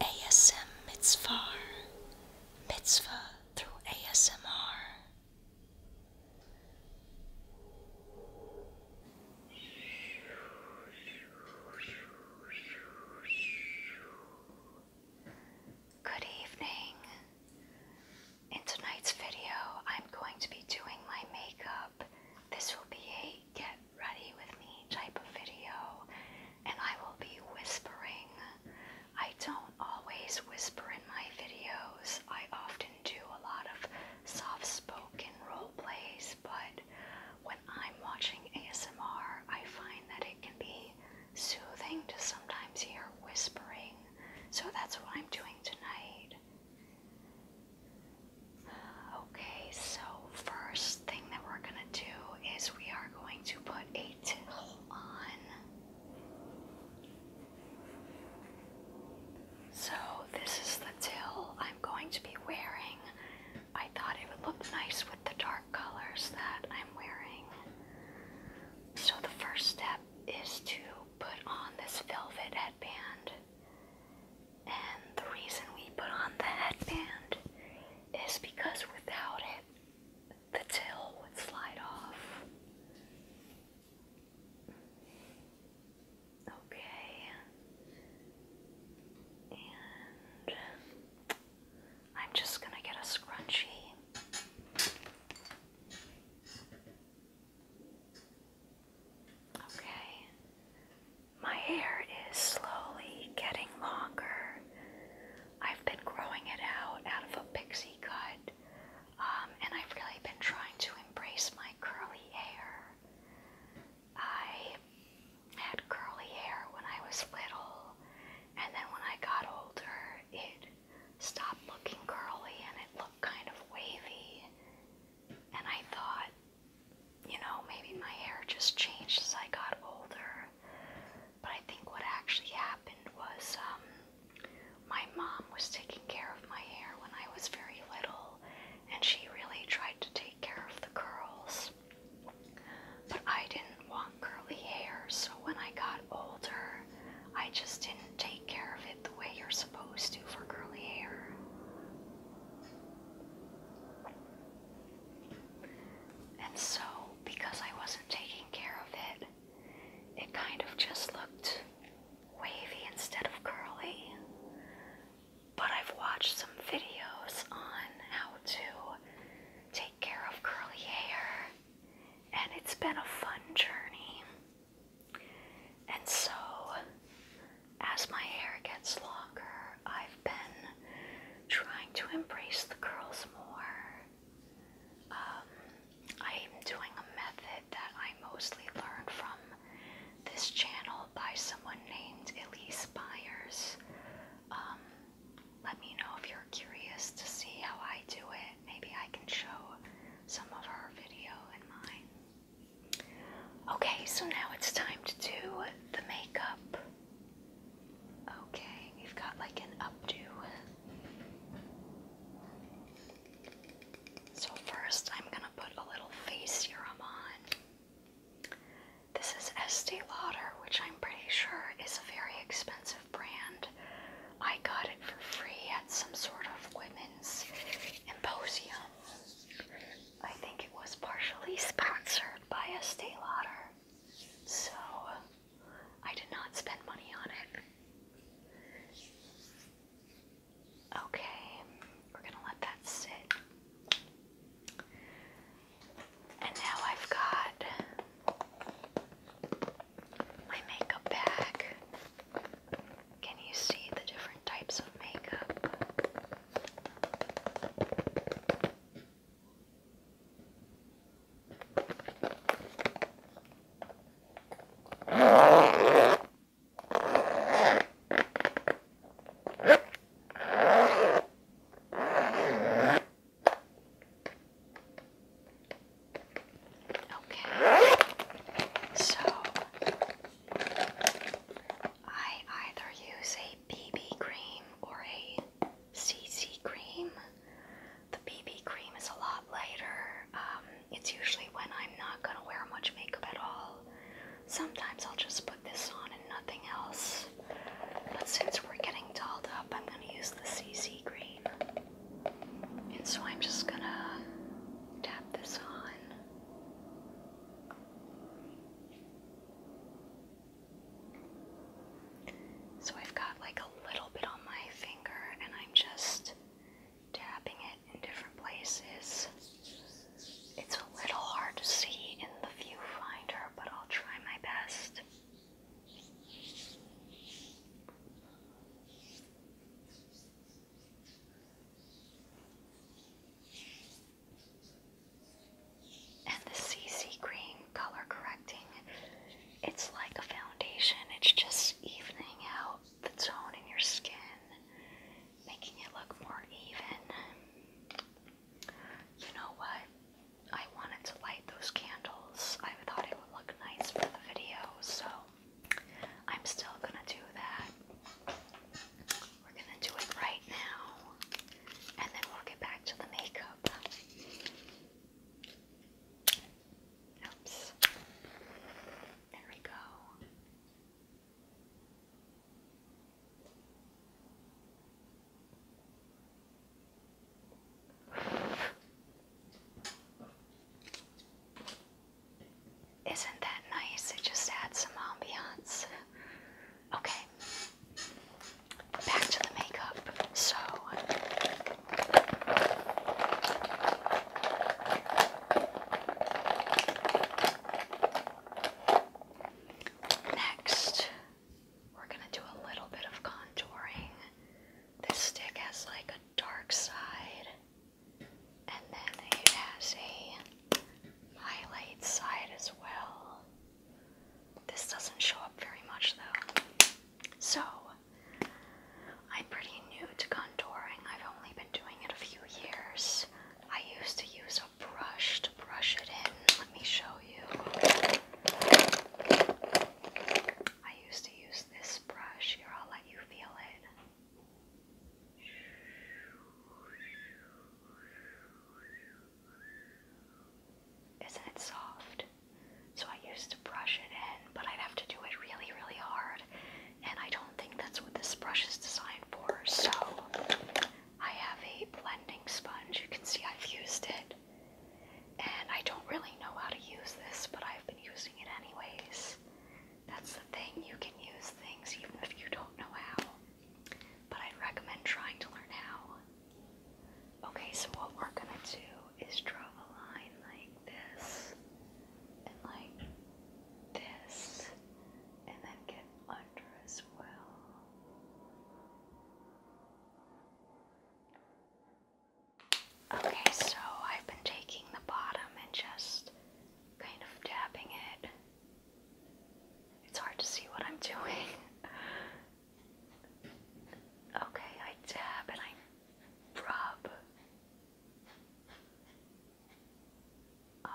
ASM Mitzvah, Mitzvah through ASMR. Good evening. In tonight's video, I'm going to be doing my makeup. This will be a get ready with me type of video, and I will be whispering. I don't always whisper in my videos, I often do a lot of soft spoken role plays, but when I'm watching ASMR, I find that it can be soothing to sometimes hear whispering, so that's what I'm doing tonight. Okay, so first thing that we're gonna do is we are going to put a towel on. So this is the till I'm going to be wearing. I thought it would look nice with the dark colors that I'm wearing. So the first step is to put on this velvet headband. And the reason we put on the headband is because without it, the tail would slide off. Okay. And I'm just going to get a scrunchie. Okay. My hair is slowly getting longer. I've been growing it out out of a pixie cut, um, and I've really been trying to embrace my curly hair. I had curly hair when I was little, and then when I got older, it stopped looking curly and it looked kind of wavy. And I thought, you know, maybe my hair just changed as I got older. But I think what actually happened was um, my mom was taking care of my hair when I was very little, and she really tried to take care of the curls. But I didn't want curly hair, so when I got older, I just didn't take care of it the way you're supposed to for curly hair. And so, because I wasn't taking care of it, it kind of just looked wavy instead of curly. But I've watched some videos on how to take care of curly hair, and it's been a fun journey. And so, as my hair gets longer, I've been trying to embrace the curls more. I'm um, doing a method that I mostly learned from this channel by someone named Elise Byers. Um, let me know if you're curious to see how I do it. Maybe I can show some of her video and mine. Okay, so now it's time to do the makeup. Okay, we've got like an updo. So, first, I'm gonna put a little face serum on. This is Estee Lauder, which I'm pretty sure is a very expensive brand. I got it for free at some sort of women's symposium. I think it was partially sponsored by Estee Lauder. So I did not spend money on it. Okay, we're gonna let that sit. And now I've got my makeup bag. Can you see the different types of makeup? Okay, so I either use a BB cream or a CC cream. The BB cream is a lot lighter. Um, it's usually when I'm not gonna wear much makeup at all. Sometimes I'll just put this on and nothing else. But since we're getting dolled up, I'm gonna use the CC cream. And so I'm just gonna tap this on. So I've got like a little bit on my finger, and I'm just tapping it in different places. It's a little hard to see in the viewfinder, but I'll try my best. And the CC cream color correcting, it's like a foundation, it's just evening out the tone in your skin, making it look more even. You know what? I wanted to light those candles. I thought it would look nice for the video, so I'm still gonna do that. We're gonna do it right now, and then we'll get back to the makeup. Oops. There we go. Isn't that nice? It just adds some ambiance. Okay, back to the makeup. So, next, we're going to do a little bit of contouring. This stick has like a dark side, and then it has a highlight side as well. This doesn't show up very much though. So, I'm pretty new to contouring. I've only been doing it a few years. I used to use a brush to brush it in. Let me show you. I used to use this brush. Here, I'll let you feel it. Isn't it soft? So I used to brush it in, but I'd have to do it really, really hard. And I don't think that's what this brush is designed for. So I have a blending sponge. You can see I've used it. And I don't really know how to use this, but I've been using it anyways. That's the thing, you can use things even if you don't know how but I'd recommend trying to learn how. Okay, so what we're gonna do is draw a line like this, and like this, and then get under as well. Okay, so I've been taking the bottom and just kind of dabbing it it's hard to see what I'm doing. Okay, I dab and I rub.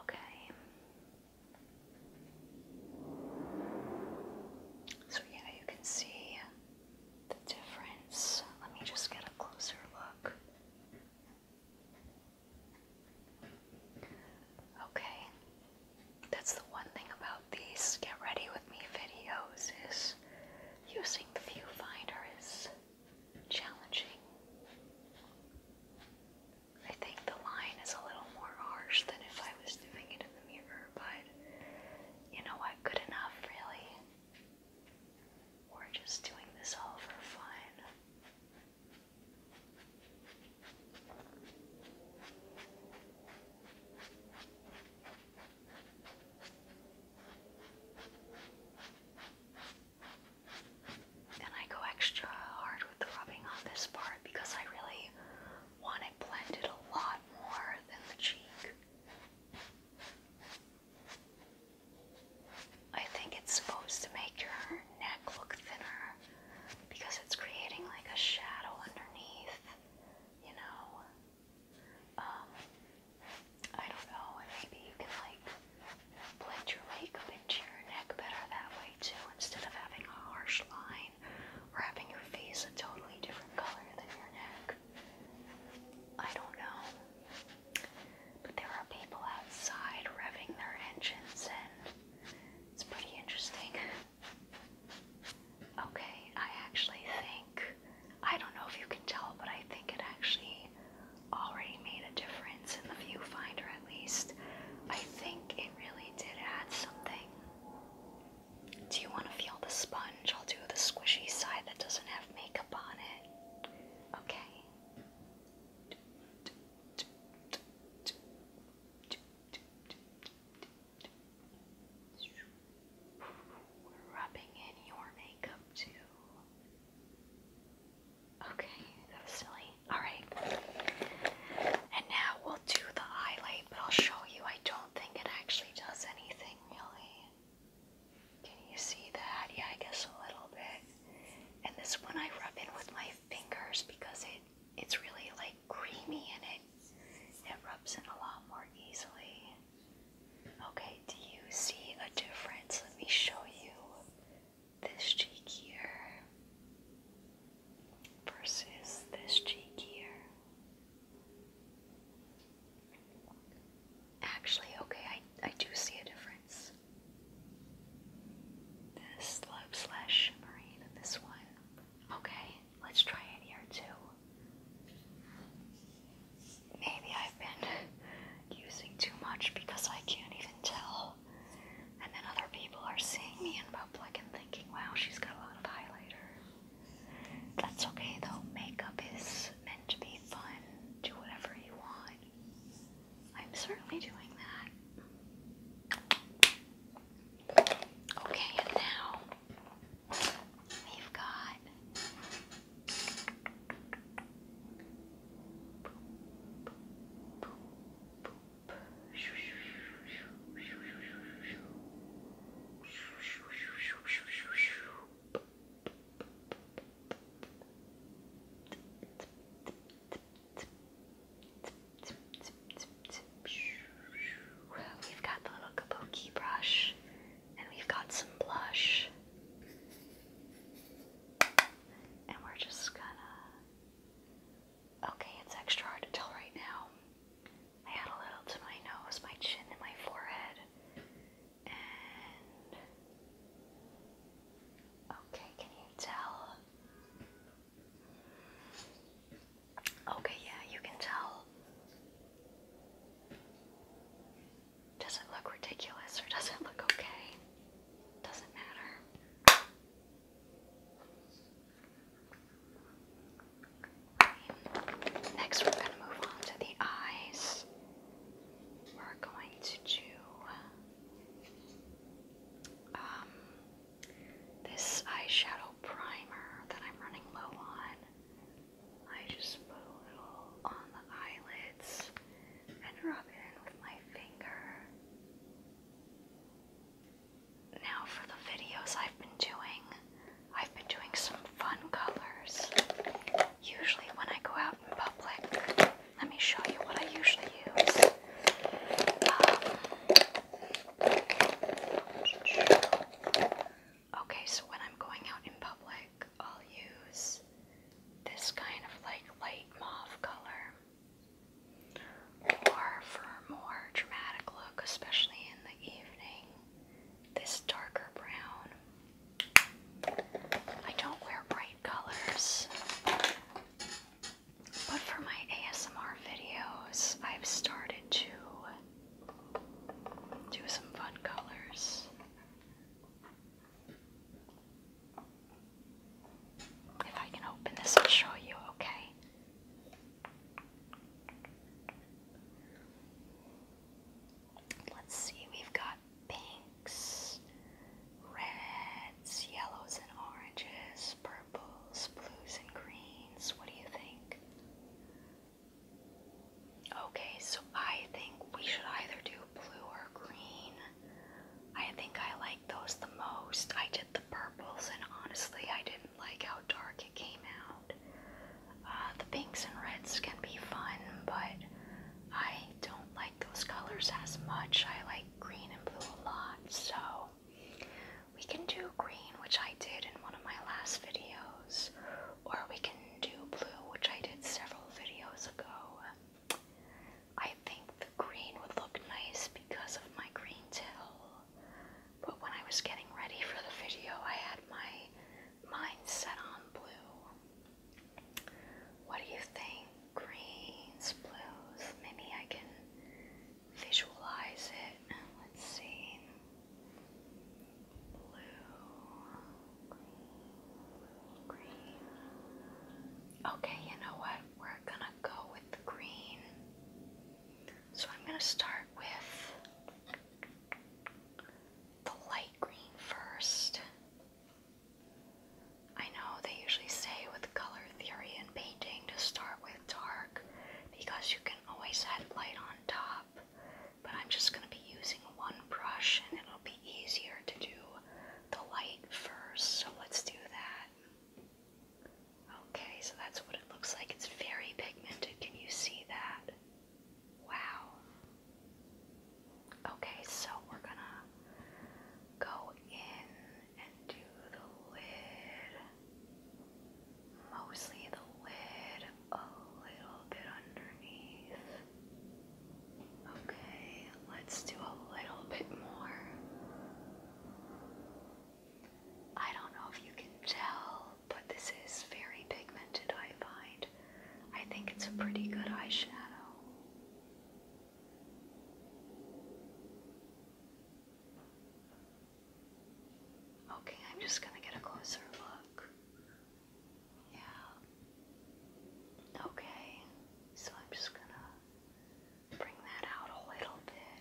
Okay. So, yeah, you can see the difference. Let me just get a closer look. Okay, that's the one thing about these get ready with me videos is using the viewfinder is challenging. I think the line is a little more harsh than if I was doing it in the mirror, but you know what? Good enough, really. We're just doing this all for fun. And I go extra hard with the rubbing on this part because I really want it blended a lot more than the cheek. I think it's supposed to make your neck look thinner because it's creating like a shadow underneath, you know. Um, I don't know, maybe you can like blend your makeup into your neck better that way too, instead of having a harsh line or having your face a totally different color than your neck. I don't know. But there are people outside revving their engines, and it's pretty interesting. Okay, I actually think, I don't know if you can tell, but I think it actually already made a difference in the viewfinder at least. I think it really did add something. Do you want to feel the sponge? I'll do the squishy side that doesn't have makeup on it. Okay. We're rubbing in your makeup too. Okay, that was silly. Alright. And now we'll do the highlight, but I'll show you. I don't think it actually does anything really. Can you see that? Yeah, I guess a little bit. And this one I rub in with my fingers because it it's really like creamy and it it rubs in a lot more easily. Okay, do you see a difference? Let me show you this cheek here versus this cheek here. Actually, okay, I, I do see a difference. This love slash shimmering and this one Okay, let's try it here too. Maybe I've been using too much because I can't even tell. And then other people are seeing me in public and thinking, wow, she's got a lot of highlighter. That's okay though, makeup is meant to be fun. Do whatever you want. I'm certainly doing that. Okay, and now we've got We've got the little kabuki brush, and we've got some blush. And we're just gonna. Okay, it's extra hard to tell right now. I add a little to my nose, my chin, and my forehead. Okay, can you tell? Okay, yeah, you can tell. Does it look ridiculous or does it look okay? Doesn't matter. Next, we're going to move on to the eyes. We're going to do um, this eyeshadow primer that I'm running low on, I just put a little on the eyelids and rub it in with my finger. Now, for the videos I've been doing, I've been doing some fun colors. Usually, when I go out in public, let me show you what I usually use. Um, Okay, so when I'm going out in public, I'll use this kind of like light mauve color. Or for a more dramatic look, especially in the evening, this darker brown. I don't wear bright colors. But for my ASMR videos, I've started to do some fun colors. If I can open this, I'll show you, okay? Let's see, we've got pinks, reds, yellows, and oranges, purple purples, blues, and greens. What do you think? Okay, so I think we should either do blue or green. I think I like those the most. I did the purples, and honestly, I didn't like how dark it came out. Uh, the pinks and reds can be fun, but I don't like those colors as much. I like green and blue a lot, so we can do green, which I did in one of my last videos, or we can do blue, which I did several videos ago. I think the green would look nice because of my green till, but when I was getting ready for the video, I had my mind set on blue. What do you think? Greens, blues, maybe I can visualize it. Let's see. Blue, green, green. Okay, you know what? We're gonna go with the green. So I'm gonna start with the light green first. I know they usually say with color theory in painting to start with dark because you can always add light on top. But I'm just going to be using one brush and it'll be easier to do the light first. So let's do that. Okay, so that's what it looks like. It's very pigmented. Can you see that? Wow. Okay, so we're gonna go in and do the lid, mostly the lid, a little bit underneath. Okay, let's do a little bit more. I don't know if you can tell, but this is very pigmented, I find. I think it's a pretty good eyeshadow. Okay, I'm just going to get a closer look. Yeah. Okay, so I'm just going to bring that out a little bit.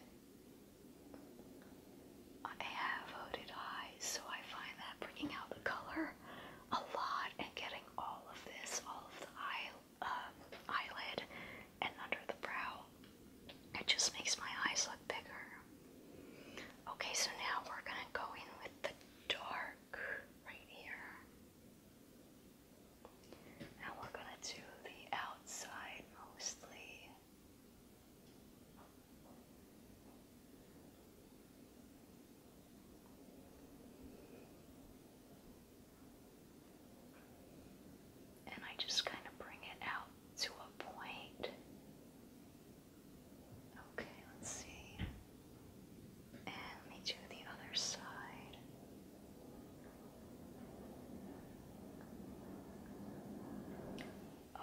I have hooded eyes, so I find that bringing out the color a lot and getting all of this, all of the eye uh, eyelid and under the brow. It just makes my eyes look bigger. Okay, so now we're gonna go in with the dark right here. Now we're gonna do the outside mostly. And I just kind of bring it out to a point. Okay, let's see. And let me do the other side.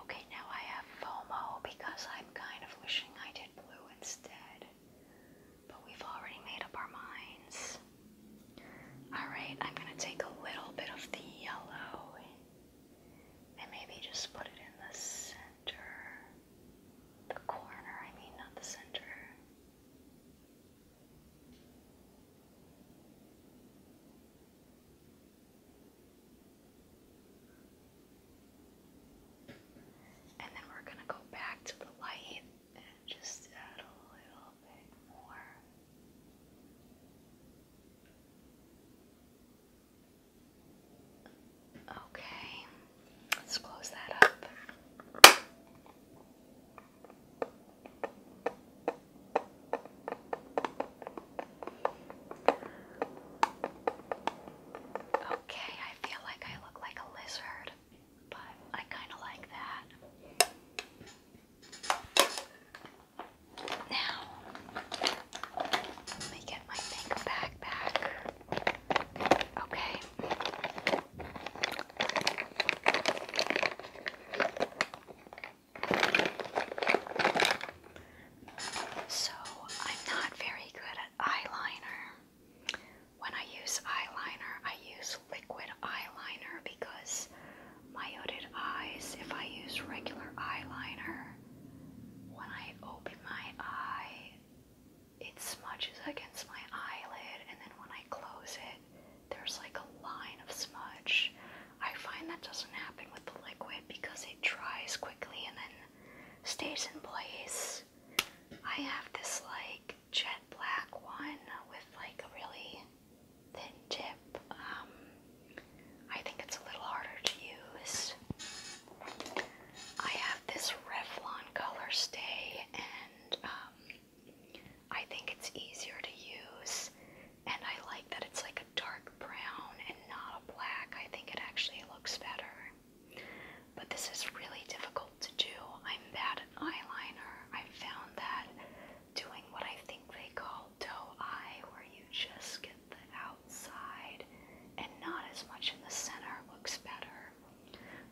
Okay, now I have FOMO because I'm kind of wishing I did blue instead. But we've already made up our minds. Alright, I'm going to take a little bit of the yellow and maybe just put it in the center. The corner, I mean, not the center. And then we're going to go back to the light just add a little bit more. Okay, let's close that up. Okay, I feel like I look like a lizard, but I kind of like that. Now, let me get my pink backpack. Okay. So, I'm not very good at eyeliner. When I use eyeliner, I use liquid eyeliner because myoted eyes if I use regular eyeliner. When I open my eye, it smudges against my eyelid, and then when I close it, there's like a line of smudge. I find that doesn't happen with the liquid because it dries quickly and then stays in place. I have this like jet black one with like a really thin tip. Um, I think it's a little harder to use. I have this Revlon Color and um, I think it's easier to use. And I like that it's like a dark brown and not a black. I think it actually looks better. But this is really difficult to do. I'm bad at eyeliner. I found that doing what I think they call toe eye, where you just get the outside and not as much in the center looks better.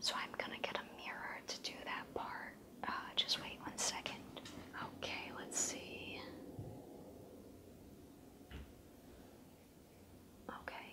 So I'm gonna get a mirror to do that part. Uh, just wait one second. Okay, let's see. Okay.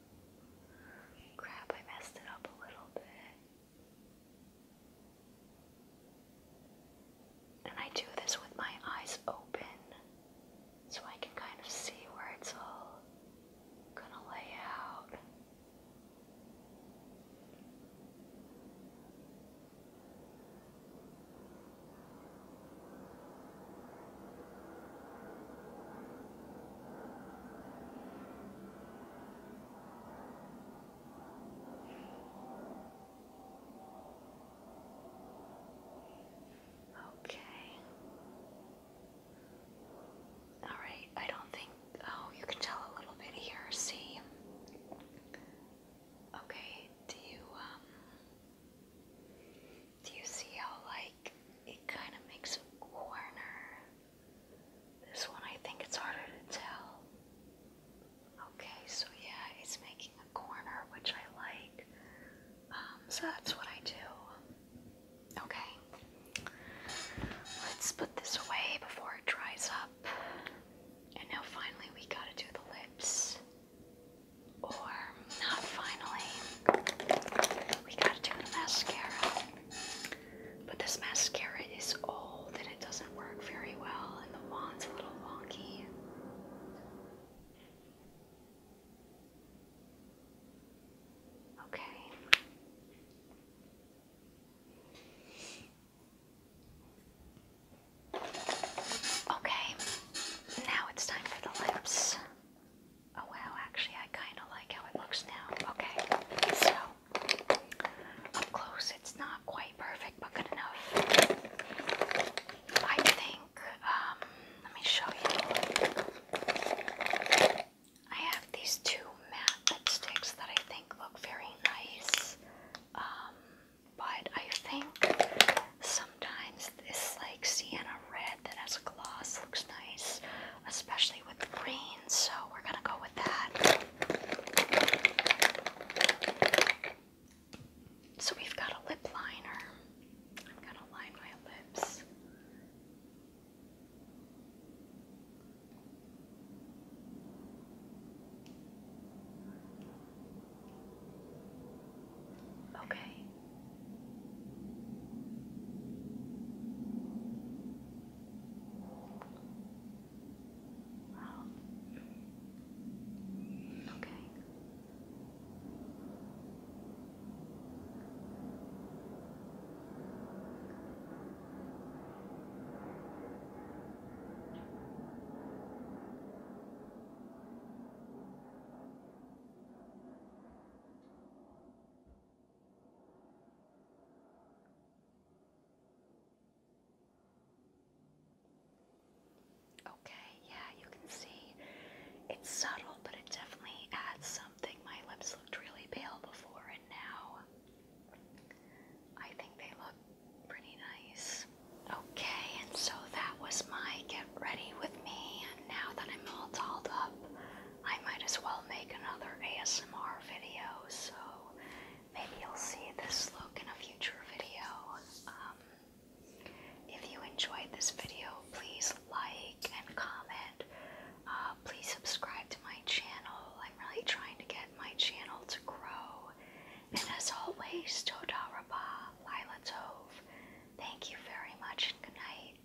Crap, I messed it up a little bit. And I do this with my eyes open so I can kind of see where it's all gonna lay out. Okay. All right. I don't think. Oh, you can tell a little bit here. See. Okay. Do you um? Do you see how like it kind of makes a corner? This one I think it's harder to tell. Okay, so yeah, it's making a corner, which I like. Um, so that's what I do. Okay. Let's put this away before it dries up. And now finally we gotta do the lips. Or not finally. We gotta do the mascara. But this mascara is old and it doesn't work very well, and the wand's a little wonky. Okay. Okay, now it's time for the lips. Oh wow, actually I kind of like how it looks now. Okay, so up close it's not quite perfect, but good enough. I think, um, let me show you. I have these two matte lipsticks that I think look very nice. Um, but I think sometimes this like sienna red that has a gloss looks nice especially with green, so we're gonna go with that. So we've got a lip liner. I'm gonna line my lips. Okay. Wow. Okay. Okay, yeah, you can see it's subtle, but it definitely adds something. My lips looked really pale before, and now I think they look pretty nice. Okay, and so that was my get ready with me, and now that I'm all dolled up, I might as well make another ASMR video, so maybe you'll see this look in a future video. Um, if you enjoyed this video, please like and comment. Uh, please subscribe to my channel. I'm really trying to get my channel to grow. And as always, Toda Rabah, Lila Tove, Thank you very much and good night.